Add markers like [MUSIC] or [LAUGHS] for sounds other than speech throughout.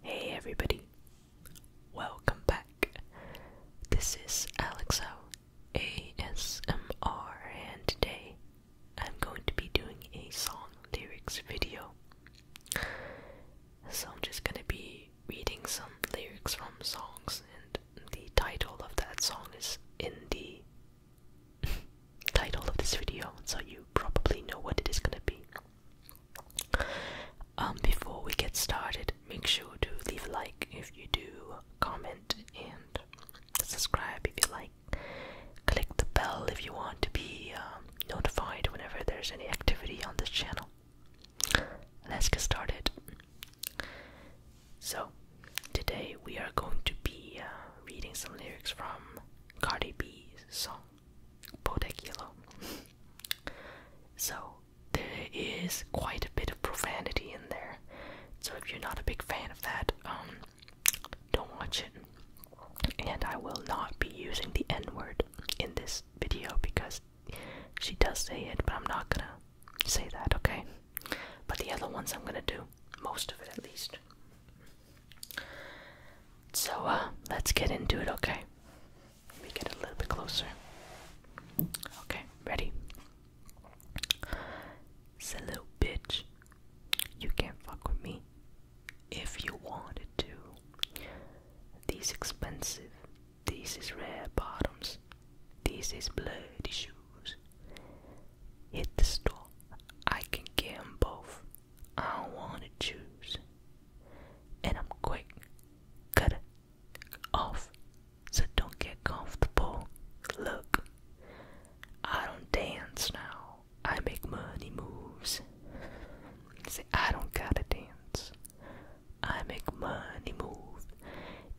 Hey everybody, welcome back. This is Alexo ASMR, and today I'm going to be doing a song lyrics video. So I'm just gonna be reading some lyrics from songs, and the title of that song is in the [LAUGHS] title of this video, so you probably know what it is gonna be. Um, before we get started, make sure to leave a like if you do, comment and subscribe if you like. Click the bell if you want to be um, notified whenever there's any activity on this channel. Let's get started. So, today we are going to be uh, reading some lyrics from Cardi B's song Podekilo. so there is quite a bit of profanity in there. So if you're not a big fan of that, um, don't watch it. And I will not be using the N-word in this video because she does say it, but I'm not gonna say that, okay? But the other ones I'm gonna do, most of it at least. So, uh, let's get into it, okay? Let get a little bit closer. Okay, ready? Say, little bitch, you can't fuck with me if you wanted to. These expensive, these is rare bottoms, these is bloody shoes. Hit the store, I can get them both. I wanna choose, and I'm quick. Cut it off, so don't get comfortable. Look, I don't dance now. I make money moves. Say I don't gotta dance. I make money move.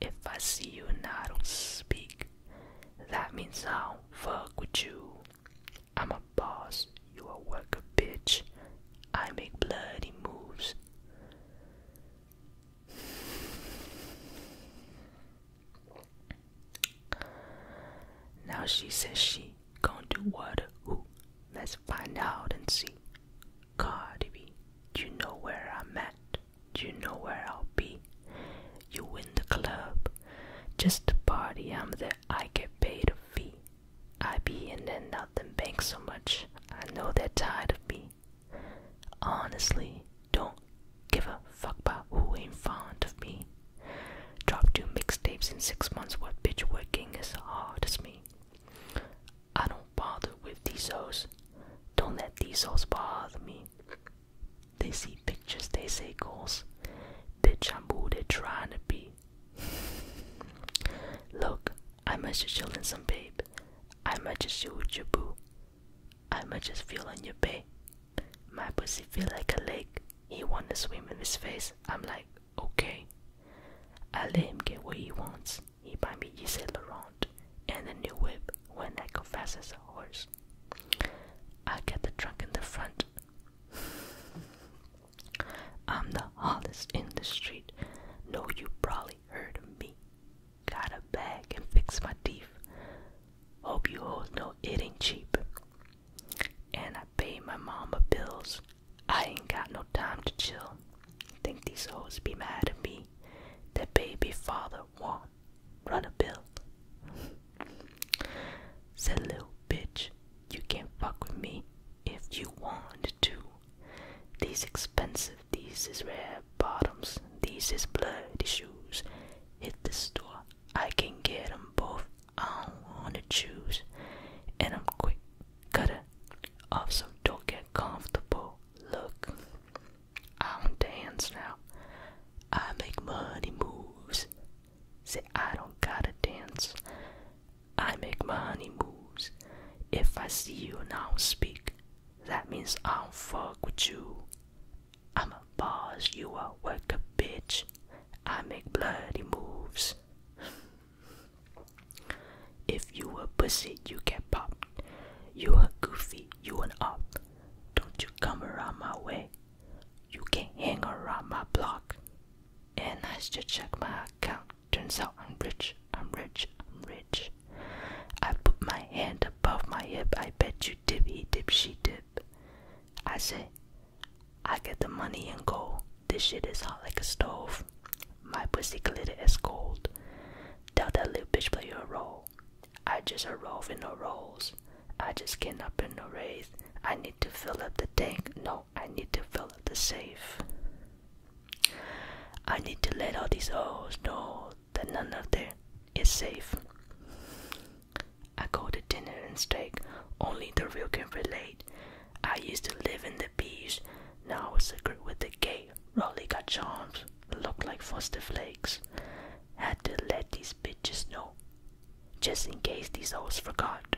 If I see you and I don't speak, that means I will fuck with you. I'm a boss, you a worker, bitch. I make bloody moves. Now she says she gonna do what? Who? let's find out and see. Cardi B, you know where I'm at. You know where I'll be. You in the club, just to party, I'm there. I get paid a fee. I be in and out them bank so much, I know they're tired of me. Honestly, don't give a fuck about who in front of me. Drop two mixtapes in six months where bitch working as hard as me. I don't bother with these souls. Don't let these souls bother me. They see pictures, they say goals. Bitch, I'm who they're trying to be. Look, I might just chillin' some babe. I might just shoot your boo. I might just feel on your babe. My pussy feel like a lake. He wanna swim in his face. I'm like, okay. I let him get what he wants. He buy me Yves Saint Laurent and a new whip when I go fast as a horse. I get the trunk in the front. I'm the hottest in the street. Know you probably heard of me. Got a bag and fix my teeth. Hope you all know it ain't cheap. And I pay my mama bills. I ain't got no time to chill. Think these hoes be mad at me. That baby father want run a bill. Said little bitch, you can't fuck with me if you want to. These expensive, these is red bottoms, these is bloody shoes. Hit the store, I can get them both, I don't wanna choose. And I'm quick, cutter off so don't get comfortable. Look, I do dance now, I make money moves. Say, I don't gotta dance. I make money moves. If I see you and I don't speak, that means I don't fuck with you. I'm a boss, you a worker, bitch. I make bloody moves. if you a pussy, you get popped. You a goofy, you an op. Don't you come around my way, you can not hang around my block. And I should check my account. Turns out I'm rich, I'm rich, I'm rich. I put my hand above my hip. I bet you dip, he dip, she dip. I say, I get the money and go. This shit is hot like a stove. My pussy glitter is gold. Tell that little bitch play your role. I just arrive in the rolls. I just came up in the race. I need to fill up the tank. No, I need to fill up the safe. I need to let all these holes know that none of them is safe. I go to dinner and steak. Only the real can relate. I used to live in the beach. Now I'm a group with the gay. Raleigh got charms. Look like foster flakes. Had to let these bitches know, just in case these hoes forgot.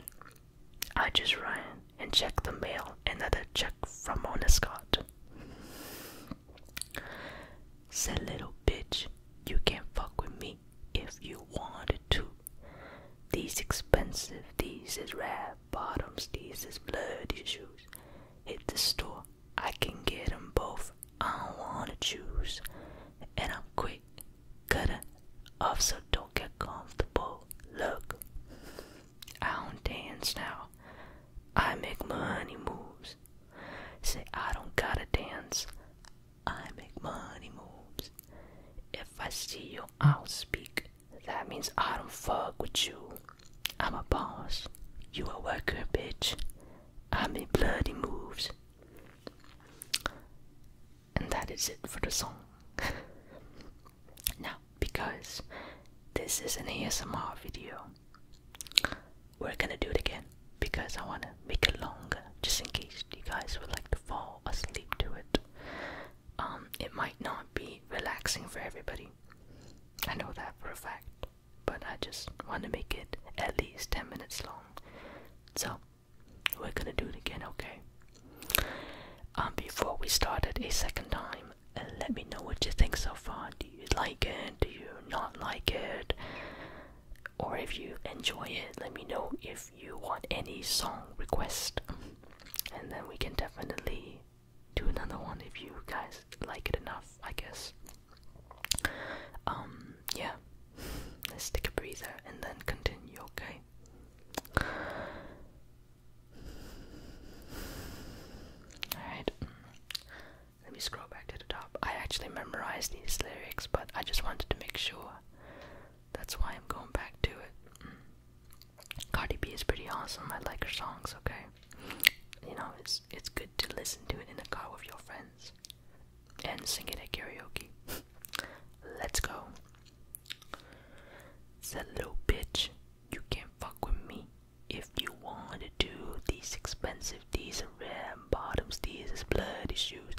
I just ran and checked the mail, another check from Mona Scott. Said little bitch, you can not fuck with me if you wanted to. These expensive, these is red bottoms, these is bloody shoes. Hit the store, I can get them both. I don't wanna choose. And I'm quick, cutting off, so don't get comfortable. Look, I don't dance now. I make money moves. Say, I don't gotta dance. I make money moves. If I see you, I'll speak. That means I don't fuck with you. I'm a boss. You a worker, bitch. I make bloody moves. And that is it for the song. [LAUGHS] now, because this is an ASMR video, we're gonna do it again because I wanna make it longer just in case you guys would like to fall asleep to it. Um, it might not be relaxing for everybody. I know that for a fact but I just want to make it at least 10 minutes long. So, we're gonna do it again, okay? Um, before we start it a second time, uh, let me know what you think so far. Do you like it? Do you not like it? Or if you enjoy it, let me know if you want any song request. And then we can definitely do another one if you guys like it enough, I guess. Um, yeah. [LAUGHS] Let's take a breather and then continue, okay? Alright. Let me scroll back to the top. I actually memorized these lyrics, but I just wanted to make sure. That's why I'm going back to it. Mm. Cardi B is pretty awesome. I like her songs, okay? You know, it's it's good to listen to it in the car with your friends and sing it at karaoke. Let's go. Said little bitch, you can't fuck with me. If you want to, do these expensive, these are red bottoms, these is bloody shoes.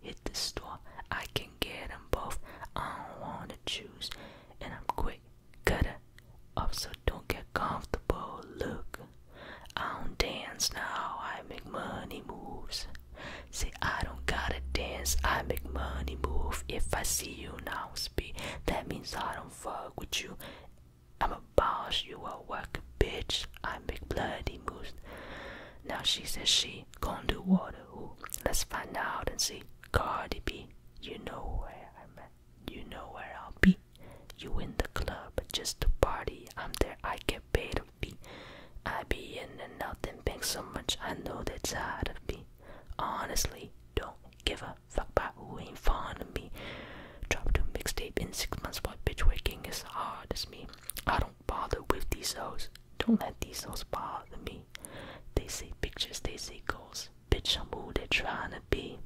Hit the store, I can get them both. I don't wanna choose, and I'm quick, cutter up, so don't get comfortable. Look, I don't dance now, I make money moves. Say I don't gotta dance, I make money move. If I see you now speak, that means I don't fuck with you. I'm a boss, you a worker, bitch. I make bloody moves. Now she says she gon' do water. let's find out and see. Cardi B, you know where I'm at. You know where I'll be. You in the club, just to party. I'm there, I get paid to be. I be in and nothing and bank so much, I know they're tired of me. Honestly, don't give a fuck about who ain't fond of me. Drop two mixtape in six months, but bitch working is hard as me. I don't bother with these hoes. Don't let these hoes bother me. They say pictures, they see goals. Bitch, I'm who they're trying to be.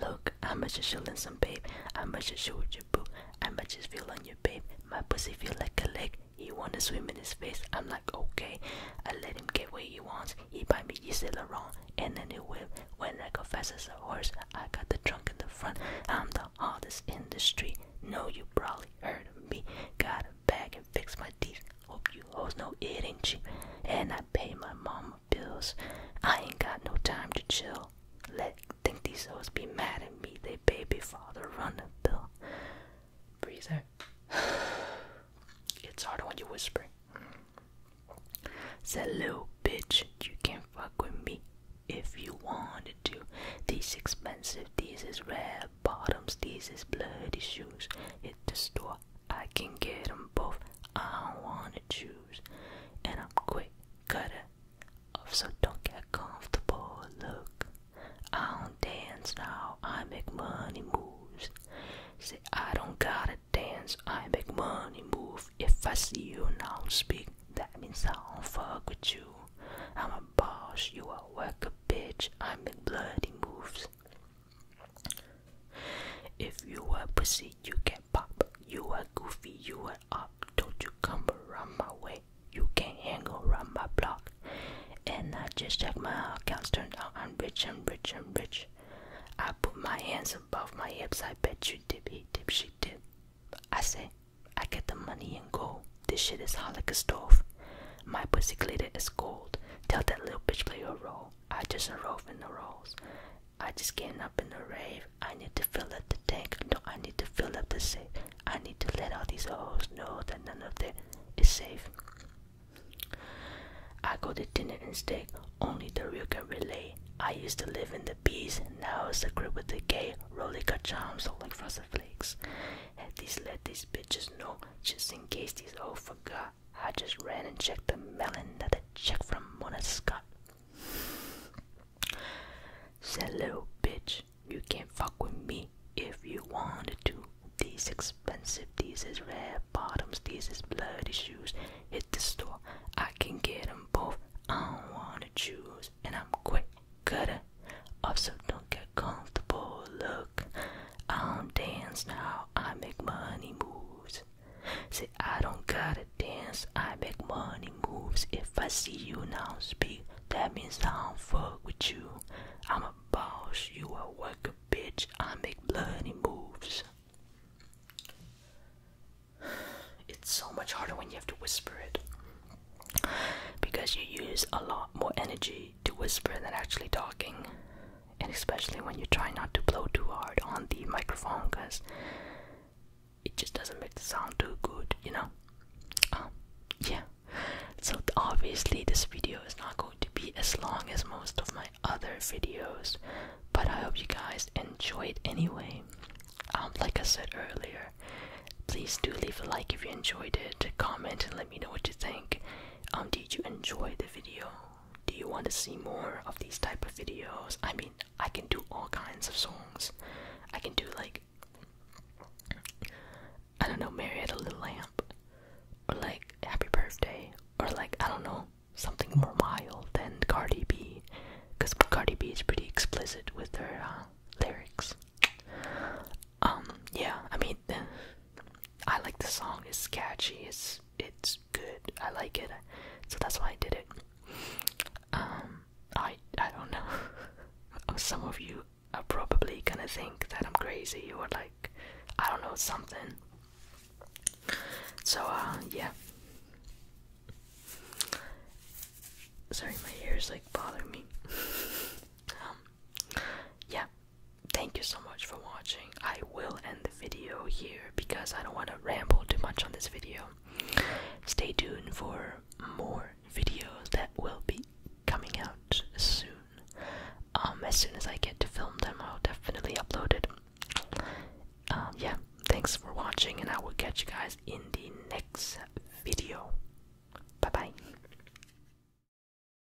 Look, I'm just shilling some babe. I'm just showing your boo. I'm just feeling your babe. My pussy feel like a lake. He wanna swim in his face. I'm like okay. I let him get what he wants. He buy me Yves Saint Laurent and then he whip. When I go fast as a horse, I got the trunk in the front. I'm the hardest in the street. No, you probably heard of me. Got a bag and fix my teeth. Hope you hoes know it ain't cheap. And I pay my mama bills. I ain't got no time to chill. Let think these hoes be mad at me. They baby father run the bill. Breather. [SIGHS] it's harder when you whisper. Said little bitch, you can fuck with me if you wanted to. These expensive, these is red bottoms, these is bloody shoes. Hit the store I can get them both. I don't wanna choose. And I'm quick cutter off, so don't get comfortable. Look, I don't dance now. I make money moves. Say I don't gotta dance. I make money move. If I see you now speak, that means I don't fuck with you. I'm a boss. You a worker, bitch. I make bloody moves. If you were pussy, you can pop. You are goofy, you are up. Don't you come around my way. You can't hang around my block. And I just checked my accounts turned out. I'm rich, and rich, and rich. I put my hands above my hips. I bet you dip, he dip, she dip. I say, I get the money and go. This shit is hot like a stove. My pussy glitter is gold. Tell that little bitch play her role. I just enrolled in the rolls. I just getting up in the rave. I need to fill up the tank. No, I need to fill up the safe. I need to let all these hoes know that none of them is safe. I go to dinner and steak. Only the real can relate. I used to live in the bees. Now it's a grip with the gay. Rolly got charms all like frosted flakes. Had these let these bitches know just in case these hoes forgot. I just ran and checked the melon that the chick from Mona Scott. Said little bitch, you can't fuck with me if you wanted to. These expensive, these is rare bottoms, these is bloody shoes. Hit the store, I can get them both. I don't wanna choose, and I'm quick cutter. Also, don't get comfortable. Look, I'll um, dance now, I make money moves. Say, I don't gotta dance, I make money moves. If I see you now speak, that means I don't fuck with you. I'm a boss, you a worker, bitch, I make money moves. [SIGHS] It's so much harder when you have to whisper it. Because you use a lot more energy to whisper than actually talking and especially when you try not to blow too hard on the microphone because it just doesn't make the sound too good, you know? Um, yeah. So, obviously, this video is not going to be as long as most of my other videos, but I hope you guys enjoyed anyway. Um, like I said earlier, please do leave a like if you enjoyed it, comment and let me know what you think. Um, did you enjoy the video? do you want to see more of these type of videos? I mean, I can do all kinds of songs. I can do like I don't know, Mary had a little Lamb," or like Happy Birthday, or like I don't know, something more mild than Cardi B, because Cardi B is pretty explicit with her uh, lyrics. Um, yeah, I mean, I like the song. It's catchy. It's it's good. I like it. So that's why I did it. Um, I I don't know. [LAUGHS] Oh, some of you are probably gonna think that I'm crazy or like I don't know something. So uh yeah. Sorry, my ears like bother me. [LAUGHS] Um, yeah, thank you so much for watching. I will end the video here because I don't want to ramble too much on this video. Stay tuned for more videos that will be coming out soon. Um, as soon as I get to film them, I'll definitely upload it. Um, yeah, thanks for watching, and I will catch you guys in the next video. Bye bye.